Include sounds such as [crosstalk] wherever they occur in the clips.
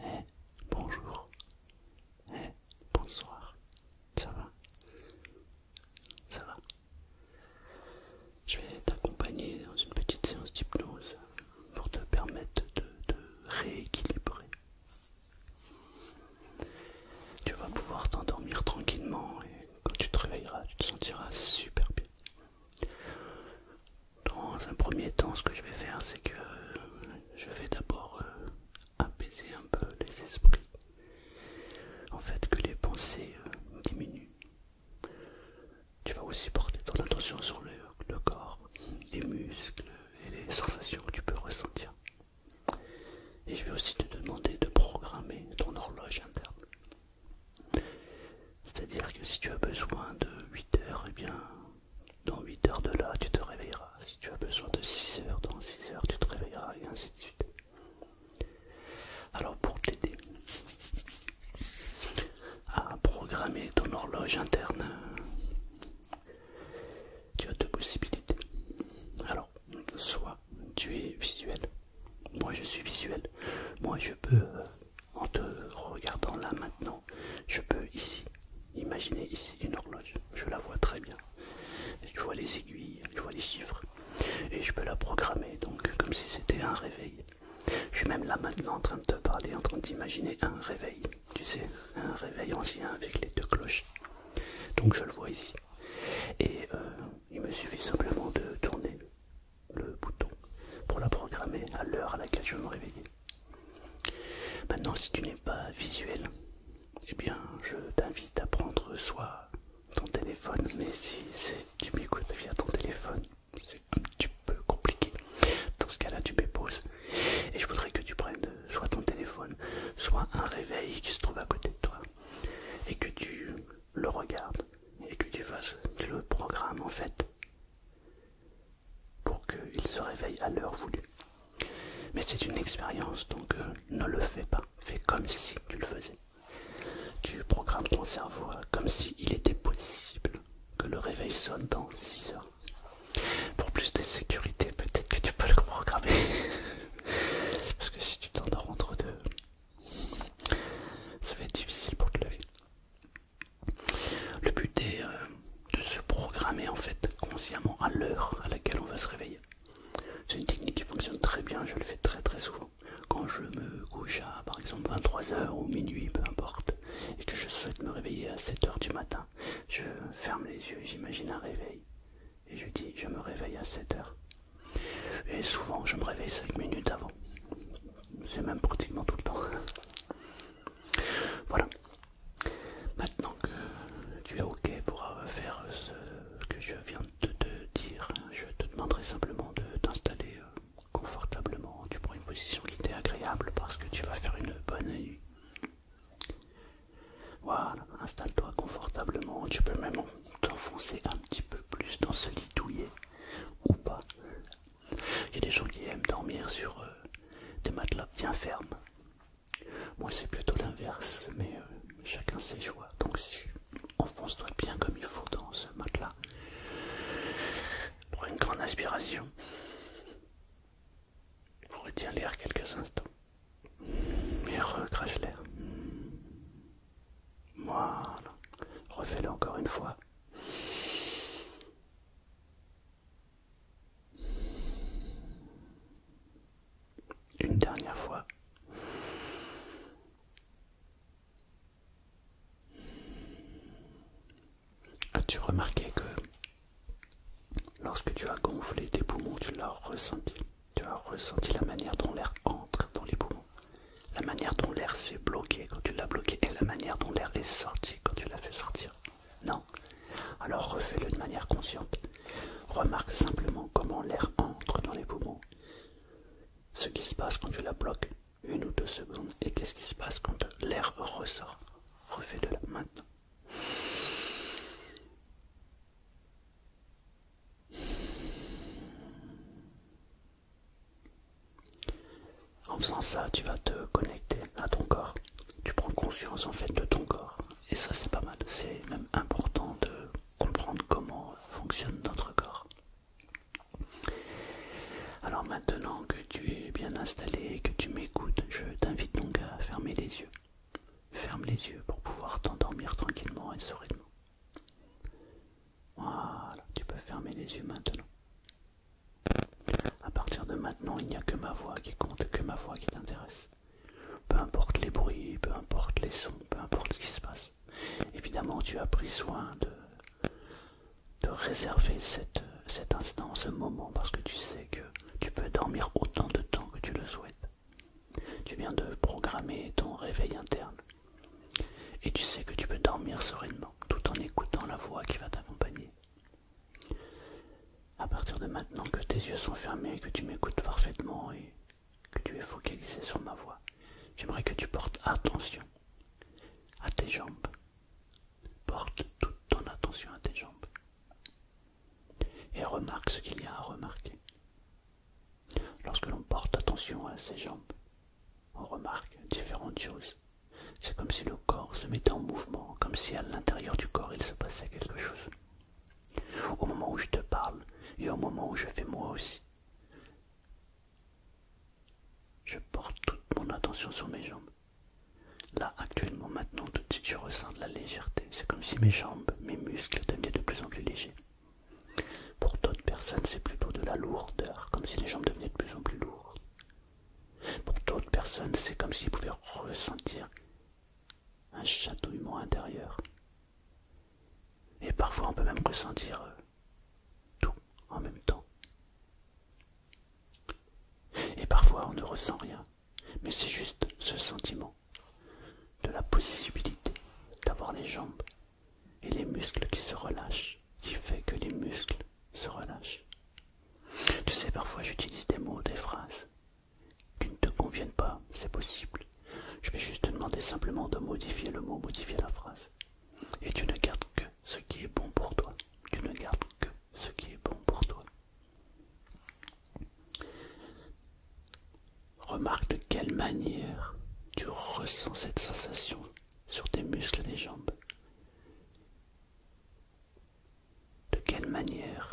Eh, bonjour. Eh, bonsoir. Ça va Ça va Je vais t'accompagner dans une petite séance d'hypnose pour te permettre de, de rééquilibrer. Tu vas pouvoir t'endormir tranquillement et quand tu te réveilleras, tu te sentiras super bien. Dans un premier temps, ce que je vais faire, c'est que euh, je vais d'abord euh, apaiser un peu les esprits. En fait, que les pensées euh, diminuent. Tu vas aussi porter ton attention sur le, corps, les muscles et les sensations que tu peux ressentir. Et je vais aussi te demander de programmer ton horloge interne. C'est-à-dire que si tu as besoin de 8 heures, eh bien dans 8 heures de là, tu te réveilleras. Si tu as besoin de 6 heures, dans 6 heures, tu te réveilleras, et ainsi de suite. Alors, pour t'aider à programmer ton horloge interne, tu as deux possibilités. Alors, soit tu es visuel, moi je suis visuel, moi je peux euh, en te regardant là maintenant, je peux ici, imaginer ici une horloge, je la vois très bien. je vois les aiguilles, je vois les chiffres, et je peux la programmer, donc comme si c'était un réveil. Je suis même là maintenant en train de te parler, en train d'imaginer un réveil, tu sais, un réveil ancien avec les deux cloches. Donc je le vois ici. Et euh, il me suffit simplement de tourner le bouton pour la programmer à l'heure à laquelle je me réveiller. Maintenant, si tu n'es pas visuel, eh bien, je t'invite à prendre soit ton téléphone, mais si, tu m'écoutes via ton téléphone, c'est un petit peu compliqué. Dans ce cas-là, tu m'époses et je voudrais que tu prennes soit ton téléphone, soit un réveil qui se trouve à côté de toi et que tu le regardes et que tu fasses le programme en fait pour qu'il se réveille à l'heure voulue. Mais c'est une expérience, donc euh, ne le fais pas. Fais comme si tu le faisais. Tu programmes ton cerveau euh, comme s'il était possible que le réveil sonne dans 6 heures. Pour plus de sécurité, peut-être que tu peux le programmer. [laughs] Parce que si tu t'endors entre deux, ça va être difficile pour te lever. Le but est euh, de se programmer en fait consciemment à l'heure à laquelle on va se réveiller. C'est une technique qui fonctionne très bien, je le fais très très souvent. Quand je me couche à par exemple 23h ou minuit, peu importe, et que je souhaite me réveiller à 7h du matin, je ferme les yeux et j'imagine un réveil. Et je dis je me réveille à 7h. Et souvent je me réveille 5 minutes avant. C'est même pratiquement tout le temps. Voilà. Maintenant que tu es OK pour euh, faire euh, ce que je viens de te dire, je te demanderai simplement de t'installer euh, confortablement. Tu prends une position qui t'est agréable parce que tu vas faire une bonne nuit. Voilà, installe-toi confortablement. Tu peux même t'enfoncer un petit peu plus dans ce lit douillet ou pas. Il y a des gens qui aiment dormir sur euh, des matelas bien fermes. Moi c'est plutôt l'inverse, mais euh, chacun ses joies. Donc enfonce-toi bien comme il faut dans ce matelas. Prends une grande inspiration. Retiens l'air quelques instants. Et recrache l'air. Voilà. Refais-le encore une fois. Une dernière fois. As-tu remarqué que lorsque tu as gonflé tes poumons, tu l'as ressenti Tu as ressenti la manière dont l'air entre dans les poumons, la manière dont l'air s'est bloqué quand tu l'as bloqué et la manière dont l'air est sorti quand tu l'as fait sortir. Non. Alors refais-le de manière consciente. Remarque simplement comment l'air entre dans les poumons. Ce qui se passe quand tu la bloques une ou deux secondes et qu'est-ce qui se passe quand l'air ressort. Refais-le maintenant. En faisant ça, tu vas te connecter à ton corps. Tu prends conscience en fait de ton corps. Et ça c'est pas mal. C'est même important de comprendre comment fonctionne notre corps. Alors maintenant que tu es bien installé et que tu m'écoutes, je t'invite donc à fermer les yeux. Ferme les yeux pour pouvoir t'endormir tranquillement et sereinement. Voilà, tu peux fermer les yeux maintenant. À partir de maintenant, il n'y a que ma voix qui compte, que ma voix qui t'intéresse. Peu importe les bruits, peu importe les sons, peu importe ce qui se passe. Évidemment, tu as pris soin de, de réserver cet instant, ce moment, parce que tu sais que tu peux dormir autant de temps que tu le souhaites. Tu viens de programmer ton réveil interne. Et tu sais que tu peux dormir sereinement, tout en écoutant la voix qui va t'accompagner. À partir de maintenant que tes yeux sont fermés, que tu m'écoutes parfaitement et que tu es focalisé sur ma voix, j'aimerais que tu portes attention à tes jambes. Porte toute ton attention à tes jambes. Et remarque ce qu'il y a à remarquer. Lorsque l'on porte attention à ses jambes, on remarque différentes choses. C'est comme si le corps se mettait en mouvement, comme si à l'intérieur du corps il se passait quelque chose. Au moment où je te parle et au moment où je fais moi aussi, je porte toute mon attention sur mes jambes. Là, actuellement, maintenant, tout de suite, je ressens de la légèreté. C'est comme si mes jambes, mes muscles devenaient de plus en plus légers. Pour d'autres personnes, c'est plutôt de la lourdeur, comme si les jambes devenaient de plus en plus lourdes. Pour d'autres personnes, c'est comme s'ils pouvaient ressentir un chatouillement intérieur. Et parfois, on peut même ressentir euh, tout en même temps. Et parfois, on ne ressent rien, mais c'est juste ce sentiment de la possibilité d'avoir les jambes et les muscles qui se relâchent, qui fait que les muscles se relâchent. Tu sais, parfois j'utilise des mots, des phrases qui ne te conviennent pas, c'est possible. Je vais juste te demander simplement de modifier le mot, modifier la phrase. Et tu ne gardes que ce qui est bon pour toi. Tu ne gardes que ce qui est bon pour toi. Remarque de quelle manière tu ressens cette sensation sur tes muscles des jambes. De quelle manière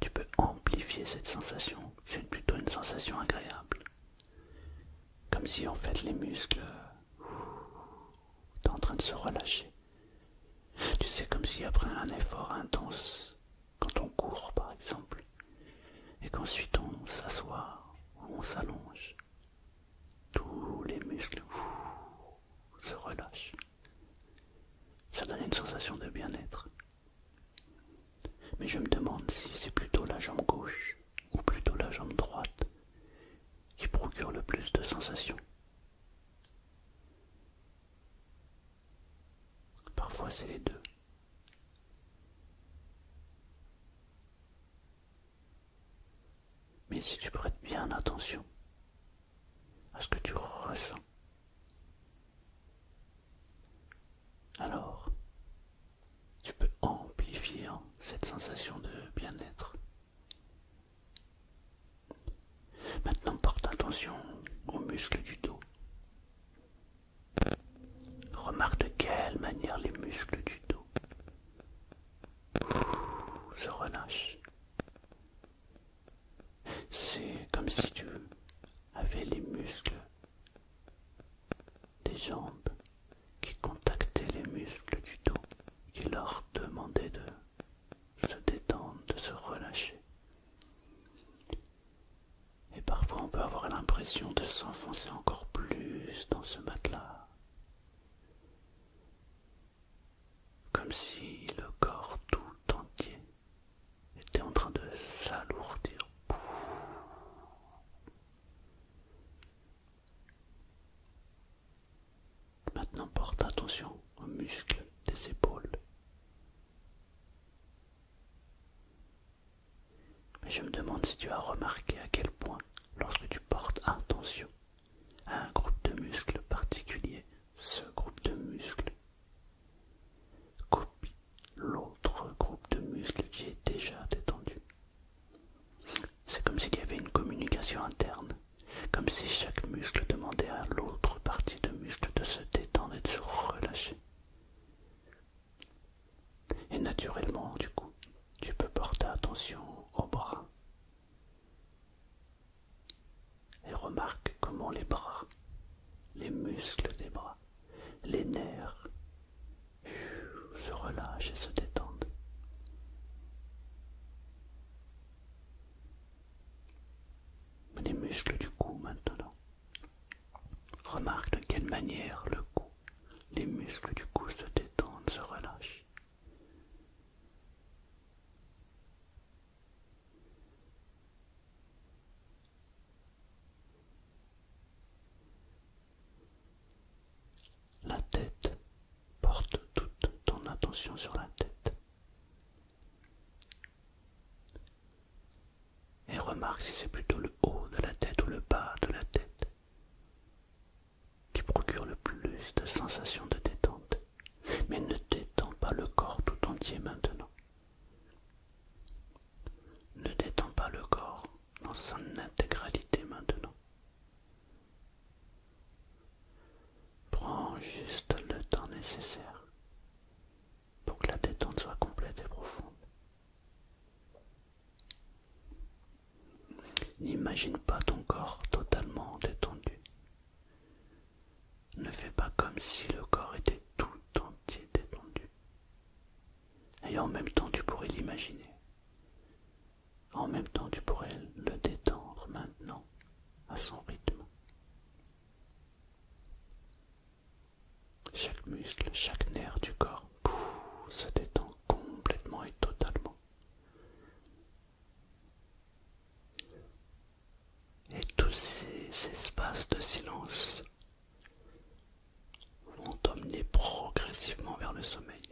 tu peux amplifier cette sensation C'est plutôt une sensation agréable. Comme si en fait les muscles étaient en train de se relâcher. Tu sais, comme si après un effort intense, quand on court par exemple, et qu'ensuite on s'assoit ou on s'allonge, tous les muscles se relâchent. Ça donne une sensation de bien-être. Mais je me demande si c'est plutôt la jambe gauche ou plutôt la jambe droite qui procure le plus de sensations. Parfois c'est les deux. Mais si tu prêtes bien attention à ce que tu ressens, alors tu peux amplifier cette sensation de bien-être. Maintenant, porte attention aux muscles du dos. Remarque de quelle manière les muscles du dos se relâchent. C'est comme si tu avais les muscles des jambes qui contactaient les muscles du dos, qui leur demandaient de se détendre, de se relâcher. Et parfois on peut avoir l'impression de s'enfoncer encore plus dans ce matelas comme si le corps tout entier était en train de s'alourdir. Maintenant porte attention aux muscles des épaules. Mais je me demande si tu as remarqué à quel point, lorsque tu portes attention un groupe de muscles particulier, ce groupe de muscles copie l'autre groupe de muscles qui est déjà détendu. C'est comme s'il y avait une communication interne, comme si chaque muscle demandait à l'autre partie de muscle de se détendre et de se relâcher. Et naturellement, du coup, tu peux porter attention aux bras, et remarque comment les bras, les muscles des bras, les nerfs se relâchent et se détendent. Les muscles du cou maintenant. Remarque de quelle manière le cou, les muscles du cou se détendent, se relâchent. La tête porte toute ton attention sur la tête. Et remarque si c'est plutôt le haut de la tête ou le bas de la tête qui procure le plus de sensations de détente. Mais ne détends pas le corps tout entier maintenant. Ne détends pas le corps dans son intégralité maintenant. Prends juste le temps nécessaire pour que la détente soit complète et profonde. N'imagine pas ton corps totalement détendu. Ne fais pas comme si le corps était tout entier détendu. Et en même temps, tu pourrais l'imaginer. En même temps, tu pourrais le détendre maintenant à son rythme. Chaque muscle, chaque nerf du corps se détend complètement et totalement. Et tous ces espaces de silence vont t'emmener progressivement vers le sommeil.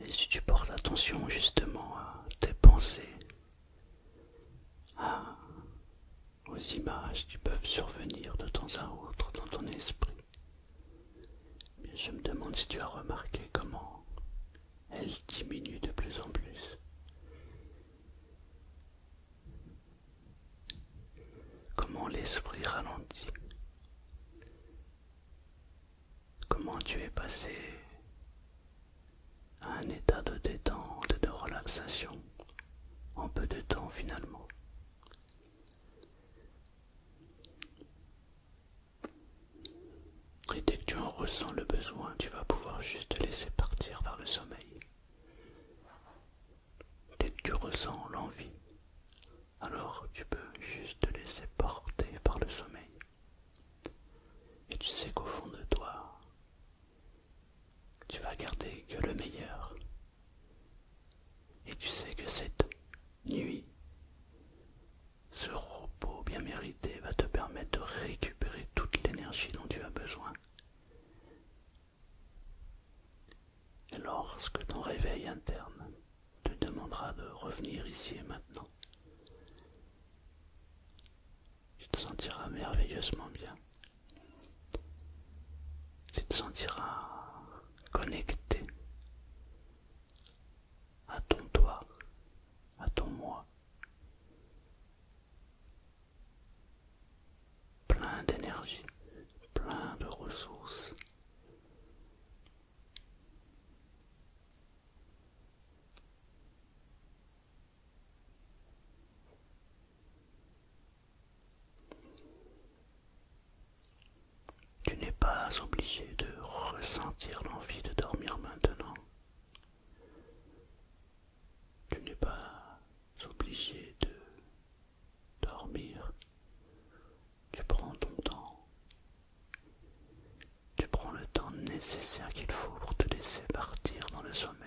Et si tu portes l'attention justement à tes pensées, à aux images qui peuvent survenir de temps à autre dans ton esprit. Mais je me demande si tu as remarqué comment elles diminuent de plus en plus. Comment l'esprit ralentit. Comment tu es passé à un état de détente et de relaxation en peu de temps finalement. Et dès que tu en ressens le besoin, tu vas pouvoir juste te laisser partir par le sommeil. Dès que tu ressens l'envie, alors tu peux juste te laisser porter par le sommeil. Et tu sais qu'au fond de toi, tu vas garder que le meilleur. Et tu sais que cette nuit, ce repos bien mérité va te permettre de récupérer toute l'énergie dont tu as besoin. Et lorsque ton réveil interne te demandera de revenir ici et maintenant, tu te sentiras merveilleusement bien tu te sentiras connecté à ton toi, à ton moi, plein d'énergie, plein de ressources. Tu n'es pas obligé de ressentir l'envie de dormir maintenant. Tu n'es pas obligé de dormir. Tu prends ton temps. Tu prends le temps nécessaire qu'il faut pour te laisser partir dans le sommeil.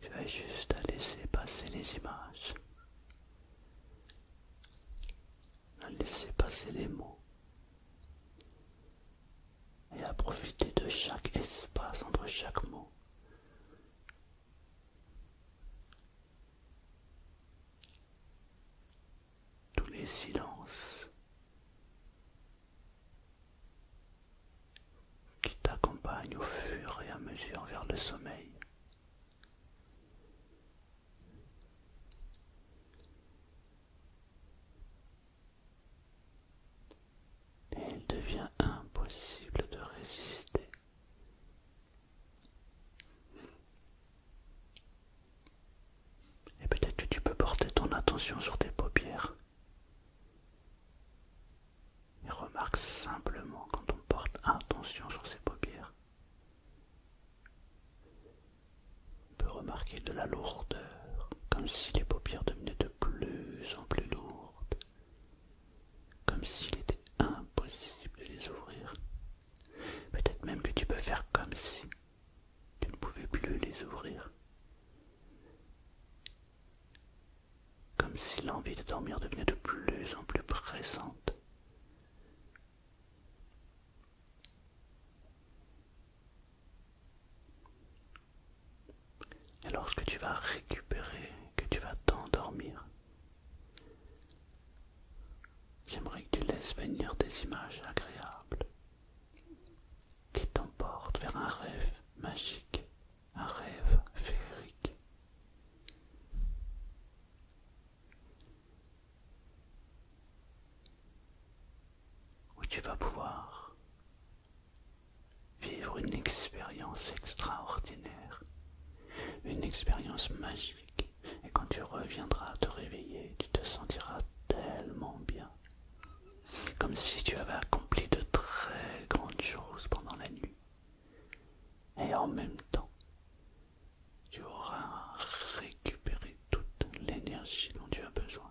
Je vais juste laisser passer les images, à laisser passer les mots et à profiter de chaque espace entre chaque mot tous les silences qui t'accompagnent au fur et à mesure vers le sommeil. il devient impossible de résister et peut-être que tu peux porter ton attention sur tes paupières. Et remarque simplement quand on porte attention sur ses paupières. On peut remarquer de la lourdeur, comme si les paupières devenaient de plus en plus lourdes, comme s'il était impossible de les ouvrir. Peut-être même que tu peux faire comme si tu ne pouvais plus les ouvrir. Comme si l'envie de dormir devenait de plus en plus pressante. Et lorsque tu vas récupérer que tu vas t'endormir. J'aimerais que tu laisses venir des images agréables qui t'emportent vers un rêve magique, un rêve féerique. Où tu vas pouvoir vivre une expérience extraordinaire, une expérience magique. Et quand tu reviendras te réveiller, tu te sentiras tellement bien, comme si tu avais accompli de très grandes choses pendant la nuit. Et en même temps, tu auras récupéré toute l'énergie dont tu as besoin.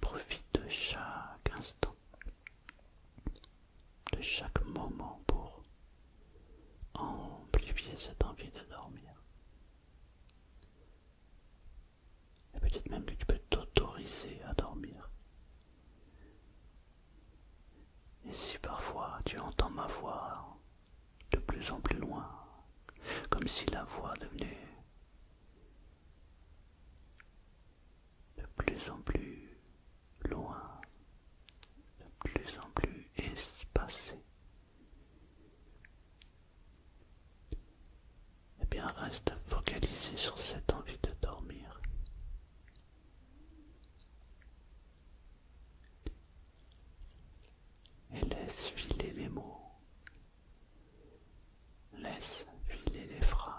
Profite de chaque instant de chaque moment pour amplifier cette envie de dormir. Et peut-être même que tu peux t'autoriser à dormir. Et si parfois tu entends ma voix de plus en plus loin, comme si la voix devenait de plus en plus loin, de plus en plus espacé. Eh bien, reste focalisé sur cette envie de dormir. Et laisse filer les mots. Laisse filer les phrases.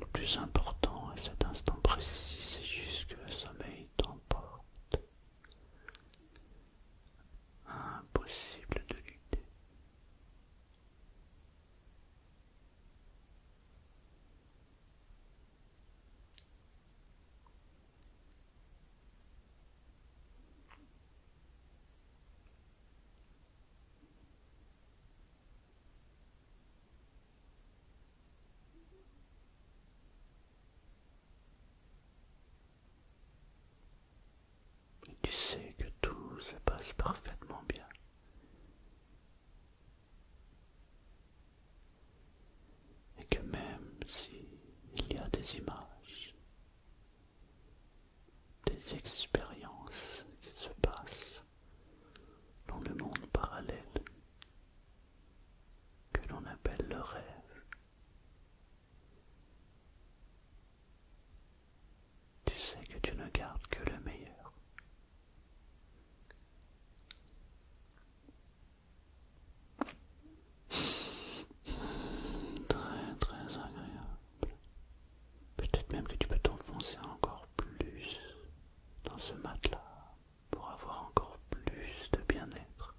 Le plus important à cet instant précis, c'est juste que le sommeil t'emporte. Impossible de lutter tu sais que tout se passe parfaitement bien. Et que même s'il y a des images, des expériences qui se passent dans le monde parallèle, que l'on appelle le rêve, tu sais que tu ne gardes que le meilleur. [laughs] Très très agréable. Peut-être même que tu peux t'enfoncer encore plus dans ce matelas pour avoir encore plus de bien-être.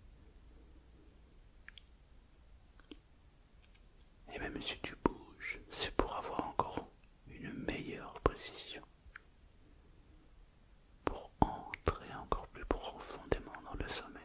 Et même si tu bouges, c'est pour avoir encore une meilleure position pour entrer encore plus profondément dans le sommeil.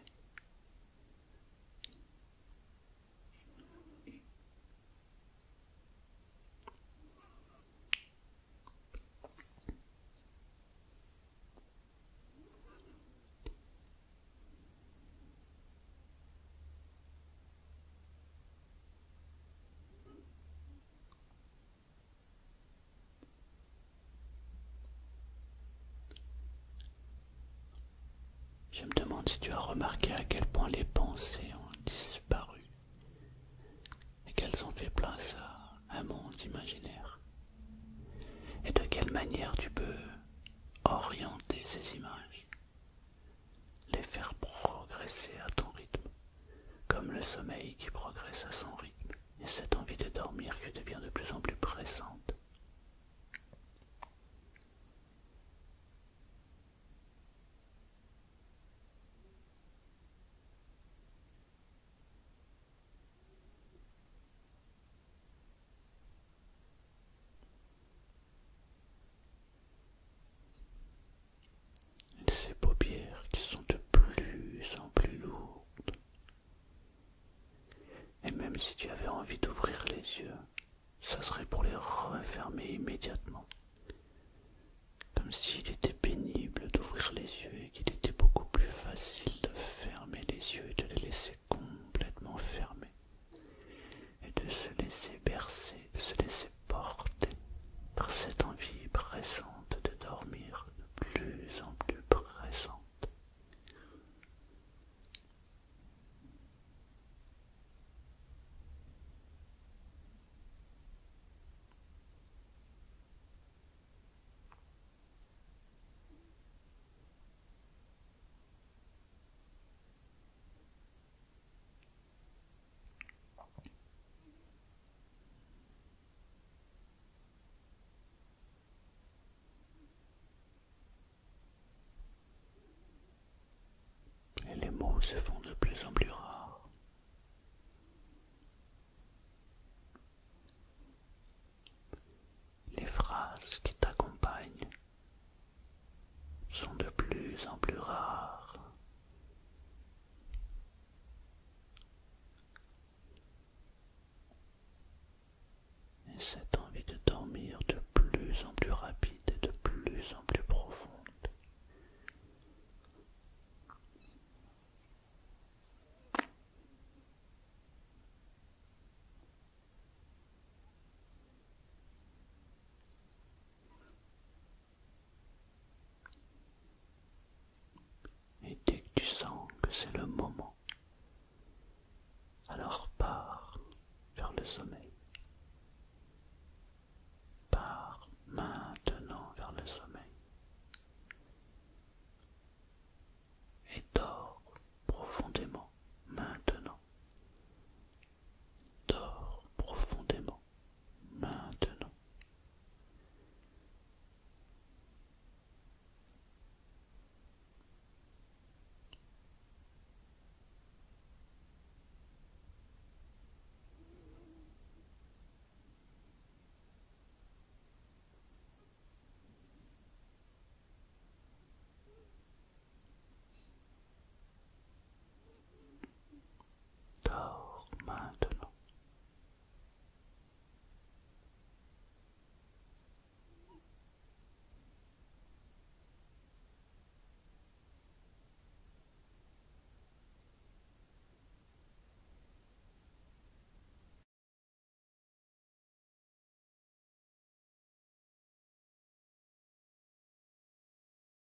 Je me demande si tu as remarqué à quel point les pensées ont disparu et qu'elles ont fait place à un monde imaginaire. Et de quelle manière tu peux orienter ces images les faire progresser à ton rythme, comme le sommeil qui progresse à son rythme, et cette envie de dormir qui devient de plus en plus pressante. Ces paupières qui sont de plus en plus lourdes. Et même si tu avais envie d'ouvrir les yeux, ça serait pour les refermer immédiatement. Comme s'il était pénible d'ouvrir les yeux et qu'il était beaucoup plus facile de fermer les yeux et de les laisser complètement fermés. Et de se laisser bercer, de se laisser porté par cette envie pressante de dormir de plus en plus pressante. Et les mots se font de plus en plus rares. Les phrases qui t'accompagnent sont de plus en plus rares. Et cette envie de dormir de plus en plus rapide et de plus en plus profonde. Et dès que tu sens que c'est le moment, alors pars vers le sommeil. Pars maintenant vers le sommeil. Et dors profondément maintenant. Dors profondément maintenant. Dors maintenant.